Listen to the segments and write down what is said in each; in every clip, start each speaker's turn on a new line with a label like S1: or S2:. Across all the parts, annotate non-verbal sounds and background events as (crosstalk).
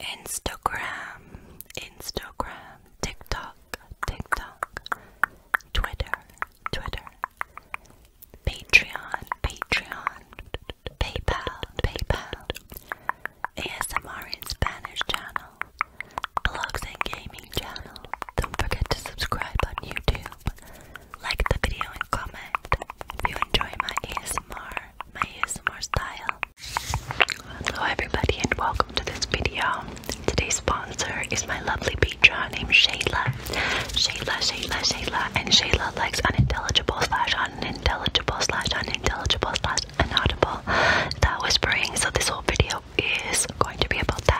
S1: Instagram, Instagram, TikTok, TikTok, Twitter, Twitter, Patreon, Patreon, PayPal, PayPal, ASMR in Spanish channel, blogs and gaming channel. Don't forget to subscribe on YouTube like the video and comment if you enjoy my ASMR, my ASMR style. Hello everybody and welcome to this video. Today's sponsor is my lovely patron named Shayla. Shayla, Shayla, Shayla, and Shayla likes unintelligible slash unintelligible slash unintelligible slash inaudible. That whispering, so this whole video is going to be about that.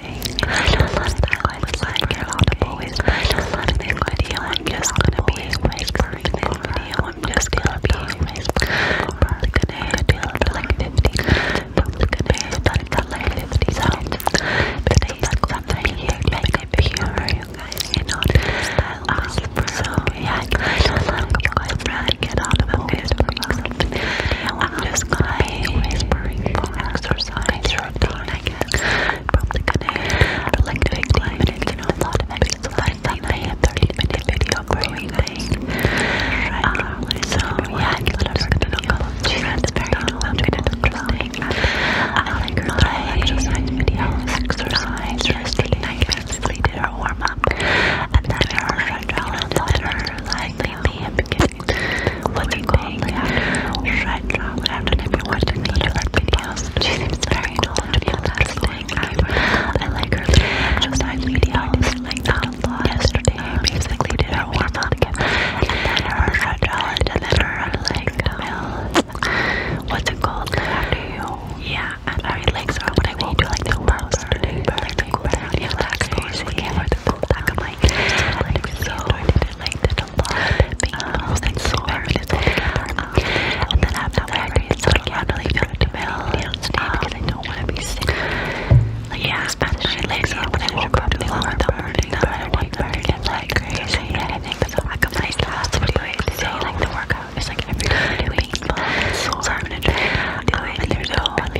S1: I don't love that going to like your audible is I don't love this video. I'm just gonna be whispering this video. I'm just gonna be whispering. Probably gonna do like 50. Probably gonna do that like 50 sounds. Today's something here like a pure, you guys. You know, um, so yeah, I don't love going to like your audible is I'm just gonna be whispering exercise routine, I guess. Probably gonna but like doing like, you know, a lot of exercise that I have 30 minute video for you guys. Um, so yeah, I thought I was gonna look up. She said it's very interesting. I like her exercise videos, exercise yesterday. I basically did her warm up. And then her challenge letter, like, lately I've been what do you think? Should drop after every watching the different videos? She seems very knowledgeable about this thing. I like her just like video. like that a lot. Yesterday, basically did her warm up again. And then her shred challenge, and then her like milk. What's it called? After you? Yeah, and I like her when I woke Do like the most today. But I are not relaxed. Crazy. I can't wear the full back. i so. I liked it a lot. Um, and so I really um, And then after that, I so I can't really go to Bell today because I don't want to be sick. Like, yeah, Spanish my legs are when I woke up too long in the morning, but I want them to get like crazy. And I think that's a lack of my class to do it today. Like, the workout is like every day doing. So I'm gonna try to do it. And there's no one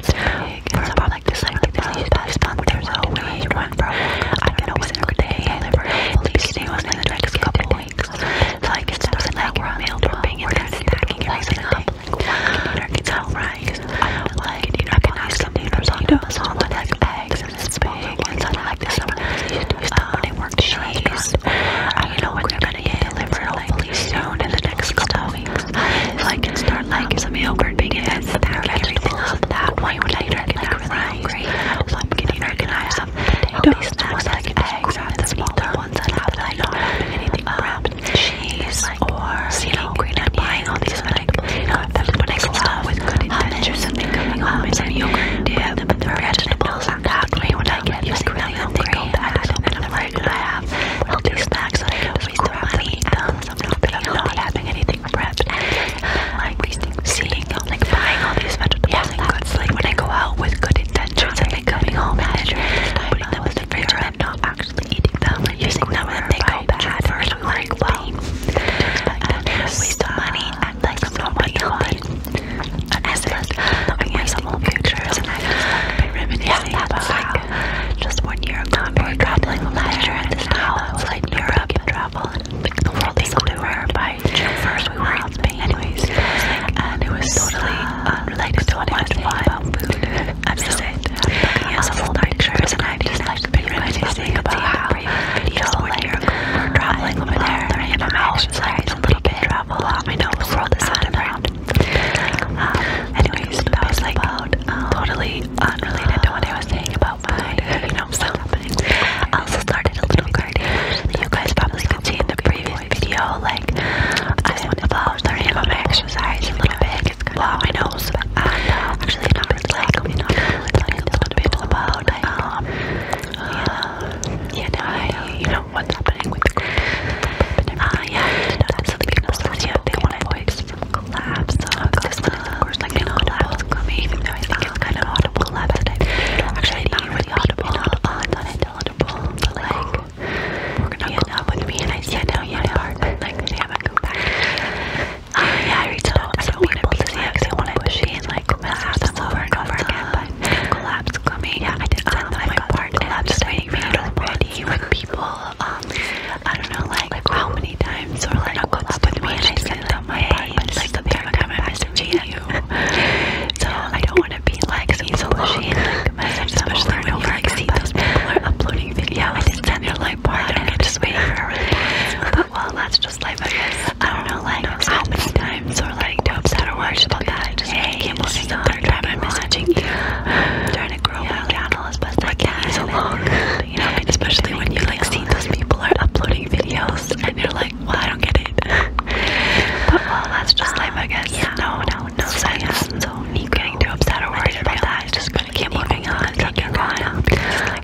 S1: it's big. It's not like like this. Like, past month or so, we went from I don't know what's every day, and the beginning was in the next couple weeks. So I guess it wasn't like we're meal prepping and then packing everything up. It's all right. Like I can have some noodles on the salad with like eggs and it's big. It's not like this. Um, they work cheese. I don't know when they're gonna get delivered hopefully soon in the next couple weeks. So I can start like some yogurt because they're everything up that way later. Like really great. So I'm getting organized. These snacks like eggs are the smaller ones that have like not um, anything um, wrapped. Cheese or you know green and buying all these like you know everybody's love with good um, intentions and coming home and yogurt dip, but the vegetables are that way when I get like really hungry. And I'm like I have healthy snacks that I can waste the money and something I'm not having anything prepped. Like seeing, like buying all these vegetables yeah, and goods. Like when I go out with good intentions and then coming home and then putting them in the fridge and not actually eating them and using them when they go bad. First we like, well, waste of money and like I'm not being healthy. And as it is, I guess possible futures, and I've been reminiscing about how just one year ago we were traveling last year, and this time I was like Europe and travel, and like, the world is over by June first. We were in Spain, anyways, and it was totally unrelated to what I was thinking about food. I'm just saying, looking at some pictures, and I've been reminiscing about how just one year ago we were traveling over there, and how it's like a little bit travel. I know the world is not around weird. Um, anyways, that was like um, totally unrelated to what I was saying about my, you know, stuff happening. I also started a little garden. You guys probably could see in the previous video, like, I went about learning about my exercise a little bit. It's blow my nose. And uh, actually, not really like, you know, like a little bit about, um, you know, you know, I, you know what's happening with the group. Ah, uh, yeah, uh, absolutely. People so yeah, they want to voice from collabs. Um, of course, like, no collabs coming, though I think um, it's kind of audible collab Actually, not really audible. Uh, we're gonna end up with me and I said, no, you know, (laughs) like, they haven't come back. (laughs) Uh, yeah, I reached out to some people to see if they wanted to be in, like, collabs over and over again, collapse coming. Yeah, I did um, that my part. And am just waiting for you to ready when people, um, I don't know, like, how many times or like what's with me, and I sent them my part, it's like the third time I'm messaging you. So I don't want to be like easily like (laughs) message, especially when you like see those uploading (laughs) videos. I did send her like part, I'm just waiting for her. (laughs) well, that's just life, I don't oh, know, like how many times or like dopes that are worried about that. hey, can't believe I'm (sighs) trying to grow my channel as best I can. So long, (laughs) especially when you like see those people are uploading videos and you're like, well, I don't get it. (laughs) but well, that's just life, I guess. Yeah. No, no, no sense. So you getting too upset or worried about that. I just gotta keep moving on, um, keep going.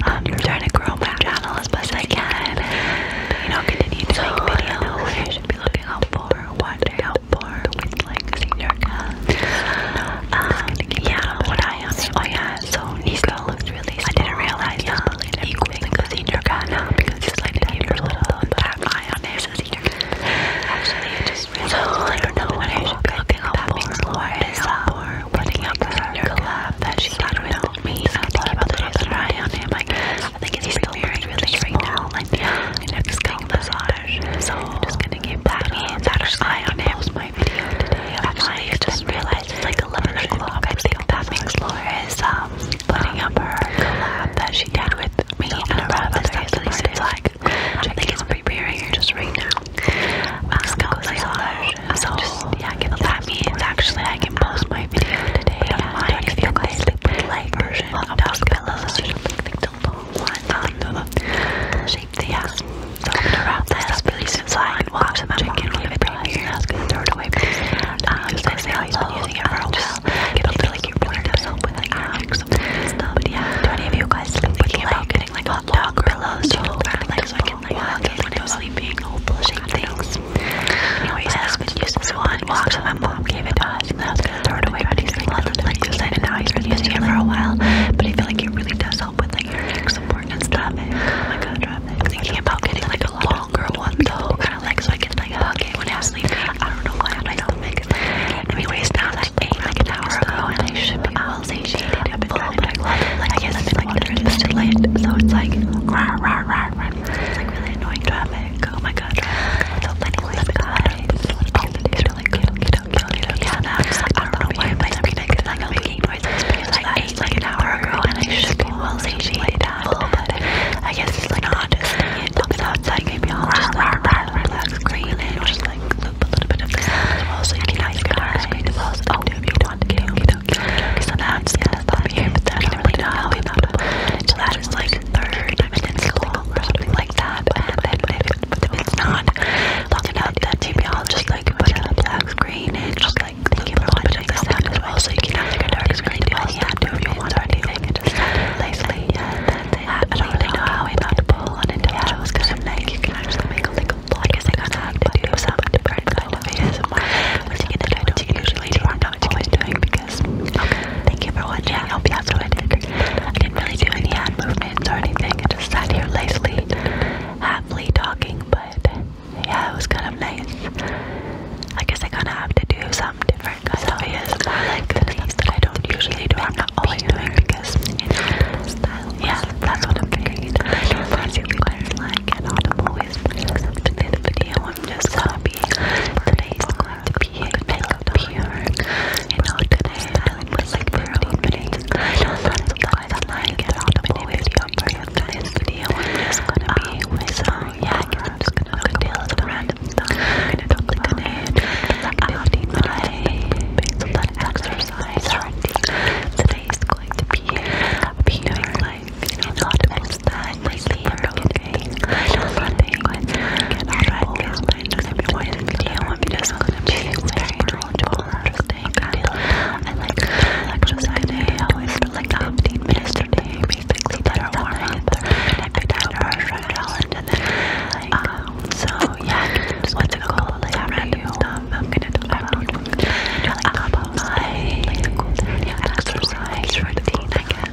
S1: I'm trying to grow my channel as best I can. You know, continue to make videos. You should be looking out for what for with senior cat. Um, yeah, what I have. Oh yeah, so Nisla looked really I didn't realize that he was like a senior cat now because he's like a little tap eye on his senior Actually, I just really so, I don't know what I should be looking out for. What is that for? Putting up the senior collab that she got with me. I thought about it. I was on him I think he's still very really right now. and it's going massage. So I'm just gonna give that that an eye on him. My video today. Actually, I just realized it's like 11 o'clock. I think that makes Laura is um up her um, that she did with me and her brother. So it's like I think it's preparing just right now. let um, massage. So yeah, give that means actually I can post my video today. I if you guys like version pillows are usually picked up on the shape they have. So I'm gonna that up really since I watch them and it right here. throw it away um, because say I've a while. But I yourself with like magic um, yeah, do of you guys sleep with like getting like hot dog pillows? You know, like so I can like sleeping, all bullshit things. Anyways, this video is one. Watch my mom gave it to us throw it away, but he's like, lots of like this, I know he's been using it for a while, but I feel like it really does help with like your neck support and stuff. Oh my god, I'm thinking about getting like a longer one though, kind of like so I can like hug it when I'm sleeping. I don't know why I'm like stomach. Anyways, now that I ate like an hour and I should be well satiated but I am it. Like, I guess I've been like, there's this delay, so it's like, rah, rah, rah, rah. It's like really annoying traffic. Oh my my god. So many guys. Oh, it's really good. I don't know why my stomach is not making noises I am like an hour ago and I should be well satiated that, oh, but I guess it's like not just something outside. Maybe I'll just like relax, clean it, or just like loop a little bit of this as well. So you can ice cream to pause and do if you want to. Okay, okay, okay. So that's kind of here, but that's really not how we thought about it. So that is like third if long something like that. And if, it's not long enough, then maybe I'll just like put a black screen and just like leave a little bit of the sound you can have do if want anything. just nicely. Yeah, I don't really know how I found a bowl on individuals because I'm like, you can actually make a like a lot. I guess I gotta have to do something different kind of ASMR. Once you get into it, you usually do. I'm not always doing Thank you for watching. I hope you enjoyed it. I didn't really do any hand movements or anything. I just sat here lazily, happily talking, but yeah, it was kind of nice. I guess I kind of have to do some different kinds so, things that I don't usually do. i not always doing because, yeah, that's what I'm thinking. I do you guys like an audible whisper. Except for the I'm just happy. Today is going to be a makeup day. You today I was like 15 minutes. I don't know if you guys like it on the video, but today's video is going to be ah, with yeah, i going to do a little random stuff. i going to talk about it. I'll do my exercise. Today is going to be being like, you know, next sleepy here, okay? I don't want to take one. Alright, guys, my next video will be just going to be very knowledgeable and interesting. I like exercising. I always for like 15 minutes a day, basically, that are warm up. And I picked out our friend challenge and then, like, um, so yeah, what's it called? Like, random stuff. I'm gonna do that. I'm gonna do like, my exercise routine, I guess.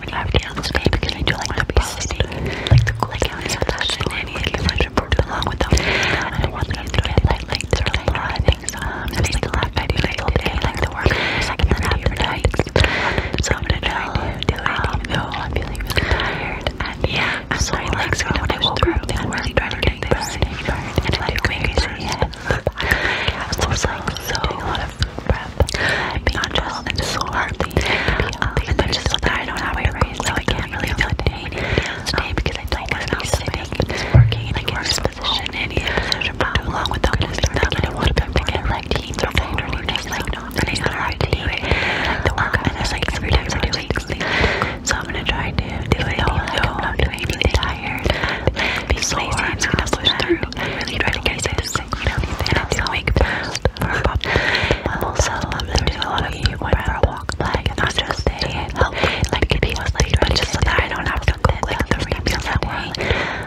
S1: when I feel this way because I do like to be sitting, like the cool down is flashing and you can let your board along with them. I want them to get like lights or like lot of things. Um, and I still have my beautiful day, like the work, second and after night. Oh, so I'm gonna try to do it. Um, no, I'm feeling really um, tired. And yeah, I'm so relaxed when I woke up. I'm really trying to get this. And I'm like, crazy. Yeah. I was like, (laughs) so doing a lot of breath, being gentle and sore. Um, and then just so that I don't have a so I can't really feel pain um, because I don't want to be working in a worse position, and position too long without moving them. I want them to get like teams or pain or just like not really know how to do it. And there's like three times I do it. So I'm gonna try to do it. No, I'm not doing anything tired. Be sore. I'm gonna push through. Really try to get this you know, these things do make best for a pop. Also, there's a lot of you went for a walk, like, not just a help, like, it was late, but just so that I don't have to go, like, three meals a day.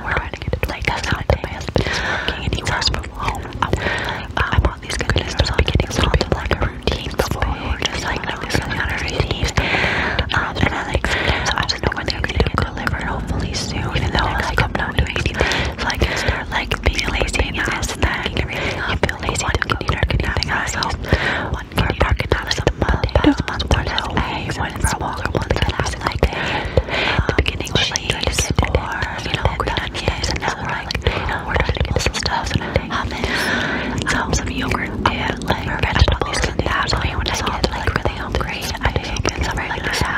S1: We're trying to get it, like, that's not the best, but just working any hours from home. Um, I want these goodness to be getting sort of like a routine before we're just, like, no, this is not a routine. Um, and I, like, sometimes I don't know when they're going to go delivered hopefully soon. Even though like I'm not doing anything, so like being lazy and this and that. I feel lazy to continue anything else. one for a park and not like the month, past month, one one for a walk, one for the last like the beginning was like cheese you know we're like you stuff. Um, um, some yogurt like vegetables and that. So when I get like really hungry, I think it's a regular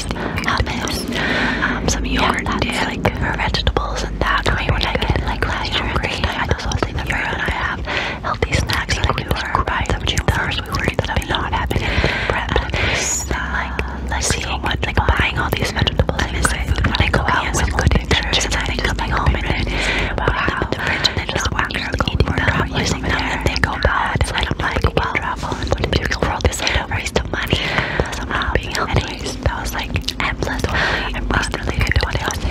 S1: hummus, hummus, um, some yogurt, yeah, that's like for vegetables and that. That's way when I get like last year at this time, this the fruit and I have healthy snacks like we were buying some juicers, we were ended up not having anything prepped. And like, like seeing, like buying all these vegetables and food when I go out with good pictures and then coming home and then putting them in the fridge and then just walking around, eating them, using them, and they go bad. And I'm like, well, travel and put it to the world just like a waste of money. Plus, I'm not um, being healthy. That was like endless. Totally I'm not really good to else.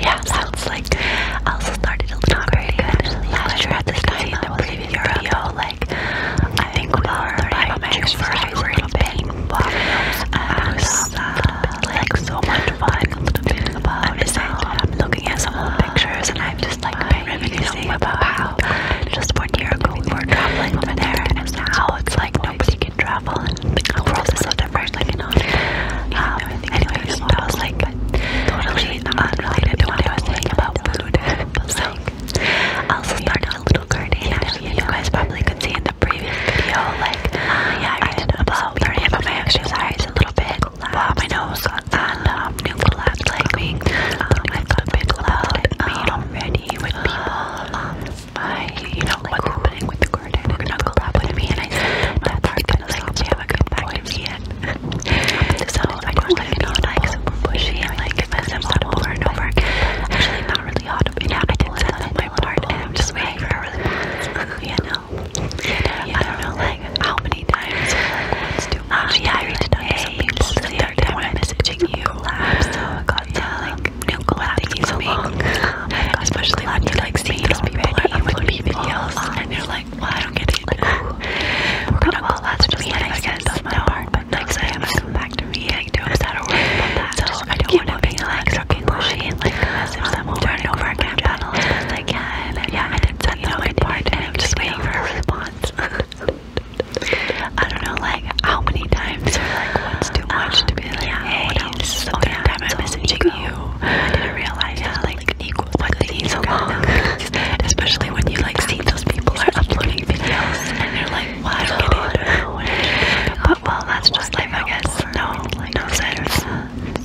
S1: Yeah, that's like I also started a little very good last year at this time. I was leaving Europe. Like I think we were about my exercise a little bit. I was uh, like so much fun. I'm just I'm looking at some old pictures and I time, just like I reminiscing about how just one year ago we were traveling over there, and now it's like nobody can travel, and the world is so different. Like, you know, um, anyways, that was like totally unrelated to what I was saying about food. (laughs) (laughs) So, I also started a little gardening. I you guys probably could see in the previous video, like, uh, yeah, I did about learning about my exercise a little bit, about my um, nose, and um, new collabs coming. Um, I've got a big um, already with people. Um, I, you know, like what's with the garden. We're gonna collab with me, and I that part gonna like we have a good (laughs) (laughs) back to me yet. so I don't want to be like pushy and like mess them up over and over. Actually, not really hot. I did send them my part, I'm just waiting for a really good one. I don't know like how many times too much. Uh, yeah, I reached out to some people I did messaging you. I got yeah, the, like new so long. Oh (laughs) especially when like see those people are uploading videos and you're like, well, I don't get it. Like, (laughs) we well, that's just me, I guess that's my part. But next time, come back to me. (laughs) I don't have to worry So I don't want to be like fucking pushy and like message um, them over over again. Channel as Yeah, I did send the my part, and I'm just waiting for a response. I don't know, like how many times or like what's too much um, to be like, um, yeah, hey, this is the oh, third yeah, time I'm messaging Nico. you. I didn't realize yeah, like, like Nico, what the things so long, (laughs) especially when you like see those people are uploading videos and you're like, what? I don't get (laughs) it. But well, that's just life, I guess. No, no sense.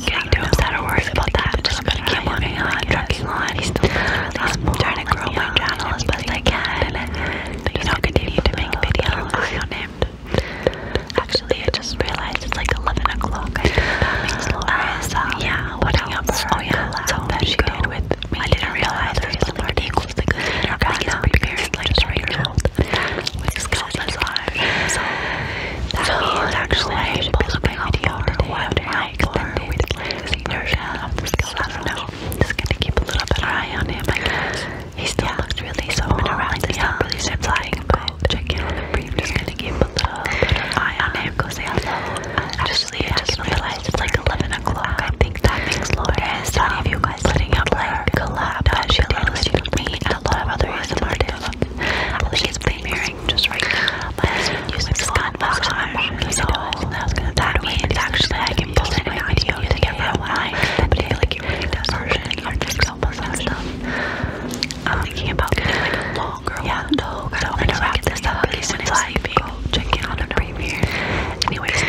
S1: Getting too upset or worried about that. Just gonna keep on, trucking on. He's still um, really trying to grow my channel as best I can and, you know, continue to make videos. I named. Actually, I just realized it's like 11 o'clock. I think Laura's, um, yeah, watching up her Oh yeah, collab that she did with me. I didn't realize this was like equals the good dinner. I guess preparing like just right now. With skeleton slime. So, that means actually I should post my video or whatever my extended with version of the skill just gonna keep a little bit of eye on him, He still yeah. looks really small, and oh, around yeah. really sympathetic, but on him. Oh, I'm just gonna keep a little bit of eye on him, because I actually I just realized it's like 11 o'clock. I think that makes Laura's um, of you guys putting out like collab uh, that she did with me and a lot of other artists. I think it's premiering just right now. My husband uses that was my mom was always that was gonna I can post any to get that line but I feel like it really does version or just help us and stuff I'm thinking about getting like a longer yeah no so I'm gonna wrap this up because when it's leaving go check in on a premiere anyways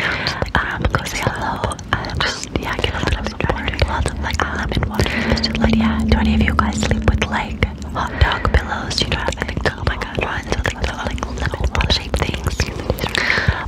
S1: um go say hello just yeah get a little bit of water lots of like lemon water um, yeah do any of you guys sleep with like hot dog pillows. You know what I mean? Oh my god, I'm Ryan's really good like little ball shaped things.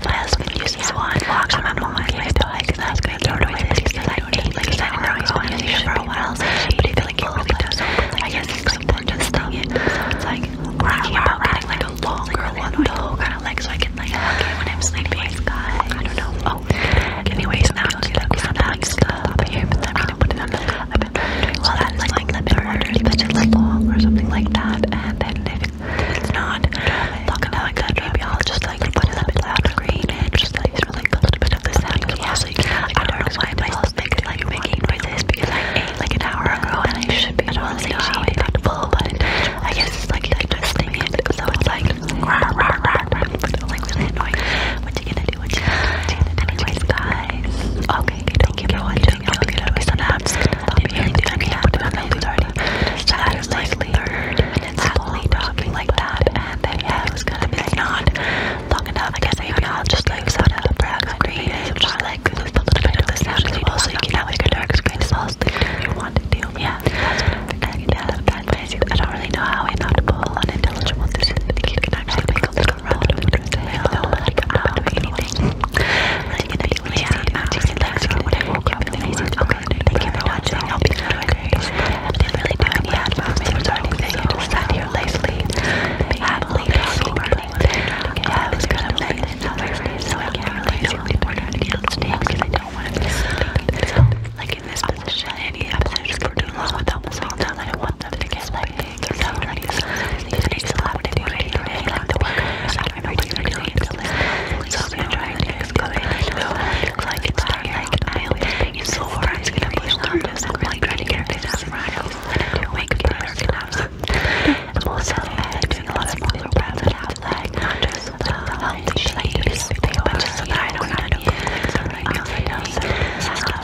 S1: My husband uses one. Walks on my mom gave it like and I was gonna throw it away but because I don't because I didn't know I was I to use it for a while. But I feel like it really does I guess it's like important stuff. It's like thinking about getting like a longer one though, kinda like so I can like hug it when I'm sleeping. I don't know. Oh anyways now I'm gonna put it on the stuff up here, but I'm gonna put it on the well, that's like, like lemon water, such a long or something like that. And then if it's not looking like that, maybe I'll just like put lemon water green and just like really a little the sound. Yeah, I don't know why my stomach is like making noises because like an hour ago I should be. I don't know how I but I guess it's like digesting so it's like like really annoying. What you gonna already watching Anyways, guys. Okay, thank you for watching. Don't forget to press the apps. I'll be here in the next video. That is like 30 minutes long talking like that. And then, yeah, it was gonna be not long enough. I guess maybe I'll just like set up the brag screen and just like a little bit of the sound as well. So you can have like a dark screen as well. If you want to do, yeah. That's what I'm thinking. Yeah, that's amazing. I don't really know how inaudible, unintelligible this is. I think you can actually make a like run with the tail, like anything. I'm just relaxing when I woke I said, okay, thank you for watching. I hope you enjoyed it. I didn't do any ad moments or anything. I just sat here lazily, happily talking. Yeah, it was kind of late, so I can't really do any more I don't want to be sleeping. I don't want them to get like. You're so ready. This takes a lot to do. I don't really like to work. I'm not really doing it. So I'm gonna try and fix it. Like it's tired. Like I always think it's so far. I'm just gonna push on this. I'm really trying to get rid of this. I'm gonna wake up for class. I'm also doing a lot of muscle reps that have like not just the healthy shakes, but just so that I don't have to feel like something else. I know.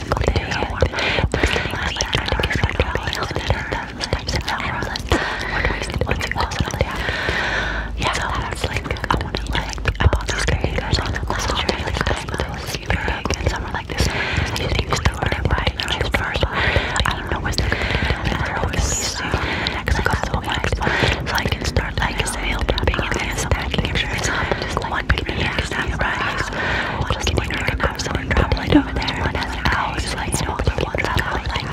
S1: every single day. Personally, try to you don't have. Yeah, so that's I want to like, about these creators on the big, and some like this. You think it's the word, right? first. I don't know what's the creator, and they're always soon, and the next couple So I can start, like, a sale, being advanced, and not just like, one big, yeah, that's right. Just like, you're going have someone drop light over there and has hours like no other one that I like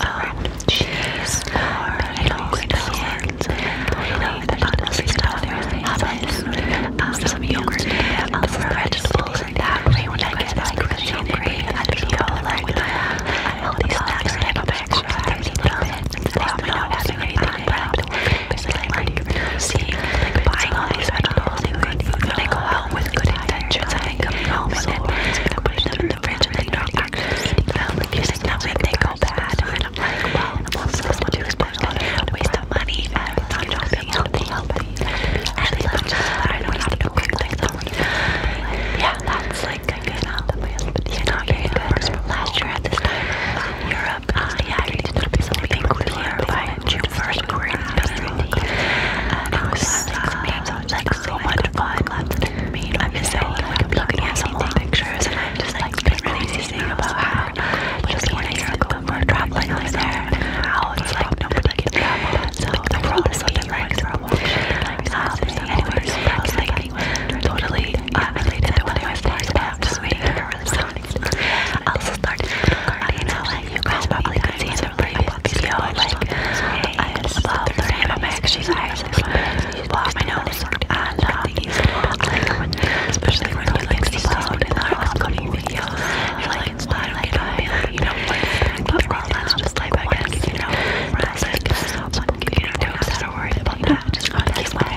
S1: um, cheese or noodles and you know, the nuts um, and stuff, hummus, um, some yogurt, um, some vegetables and that way when I get like really hungry, I feel like a healthy snack type of exercise a little bit, instead of not having anything product is I go out oh, with good intentions and then home and then putting them in the fridge and then not actually eating them because like, and I'm like, well, I'm also supposed to spend a lot waste of money and not shopping healthy, healthy and such as that I don't have yeah, that's like, I guess, you know, you know, you guys, last year at this time, Europe I did not be clear by June 1st. We're in Burundi. And it was uh, so much fun. I miss it. Like, I'm I'm just like crazy about how just one year ago we were traveling over there and how it's like nobody the world is so different. Anyways, I was like totally uh, also start uh, know you guys probably could see in the um, previous video like I love learning about my exercise block my nose and um, like, especially when you like see loud and ongoing videos you I do just life I guess you know it's like you don't have to just keep my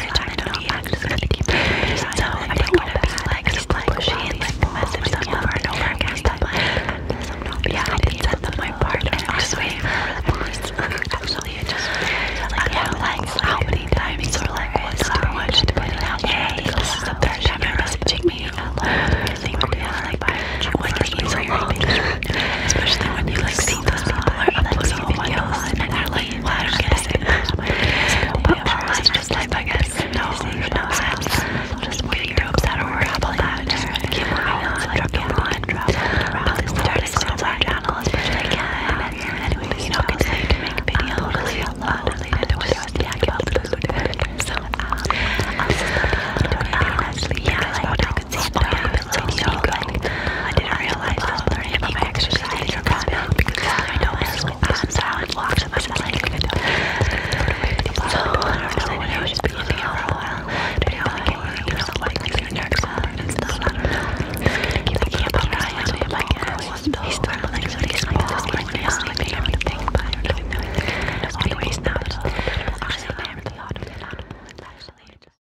S1: they're trying to be to keep So I don't want to be like just like pushy and like message them over and over again. But yeah, I didn't send my part. I'm (laughs) just waiting for the police. Actually, it just like how like how many times or like what's too much to put This is the third time you're messaging me. Because they really like by when you long, especially when you like see those people are uploading videos and they're like, well, I don't get a single comment. But (laughs) ours is just like, I guess, no, no sense. Just waiting to upset or worry about that. Just keep moving on, drop the line, drop the line. But this is the artist on my channel as much as I can. Anyway, you know, continue to make videos. I'm totally unrelated to what I was talking about. So, um, this is the video. Yeah, I know been so stuck I've been so I didn't realize I was learning about my because I don't really pass out and locked in my mind so I don't know what I was just been using while I can't know, like my nerves and I don't know I can't put my on my hands he's still like, so he's like, this is like, he's sleeping and everything I don't know, I don't know anyways now, it's actually my favorite lot of it actually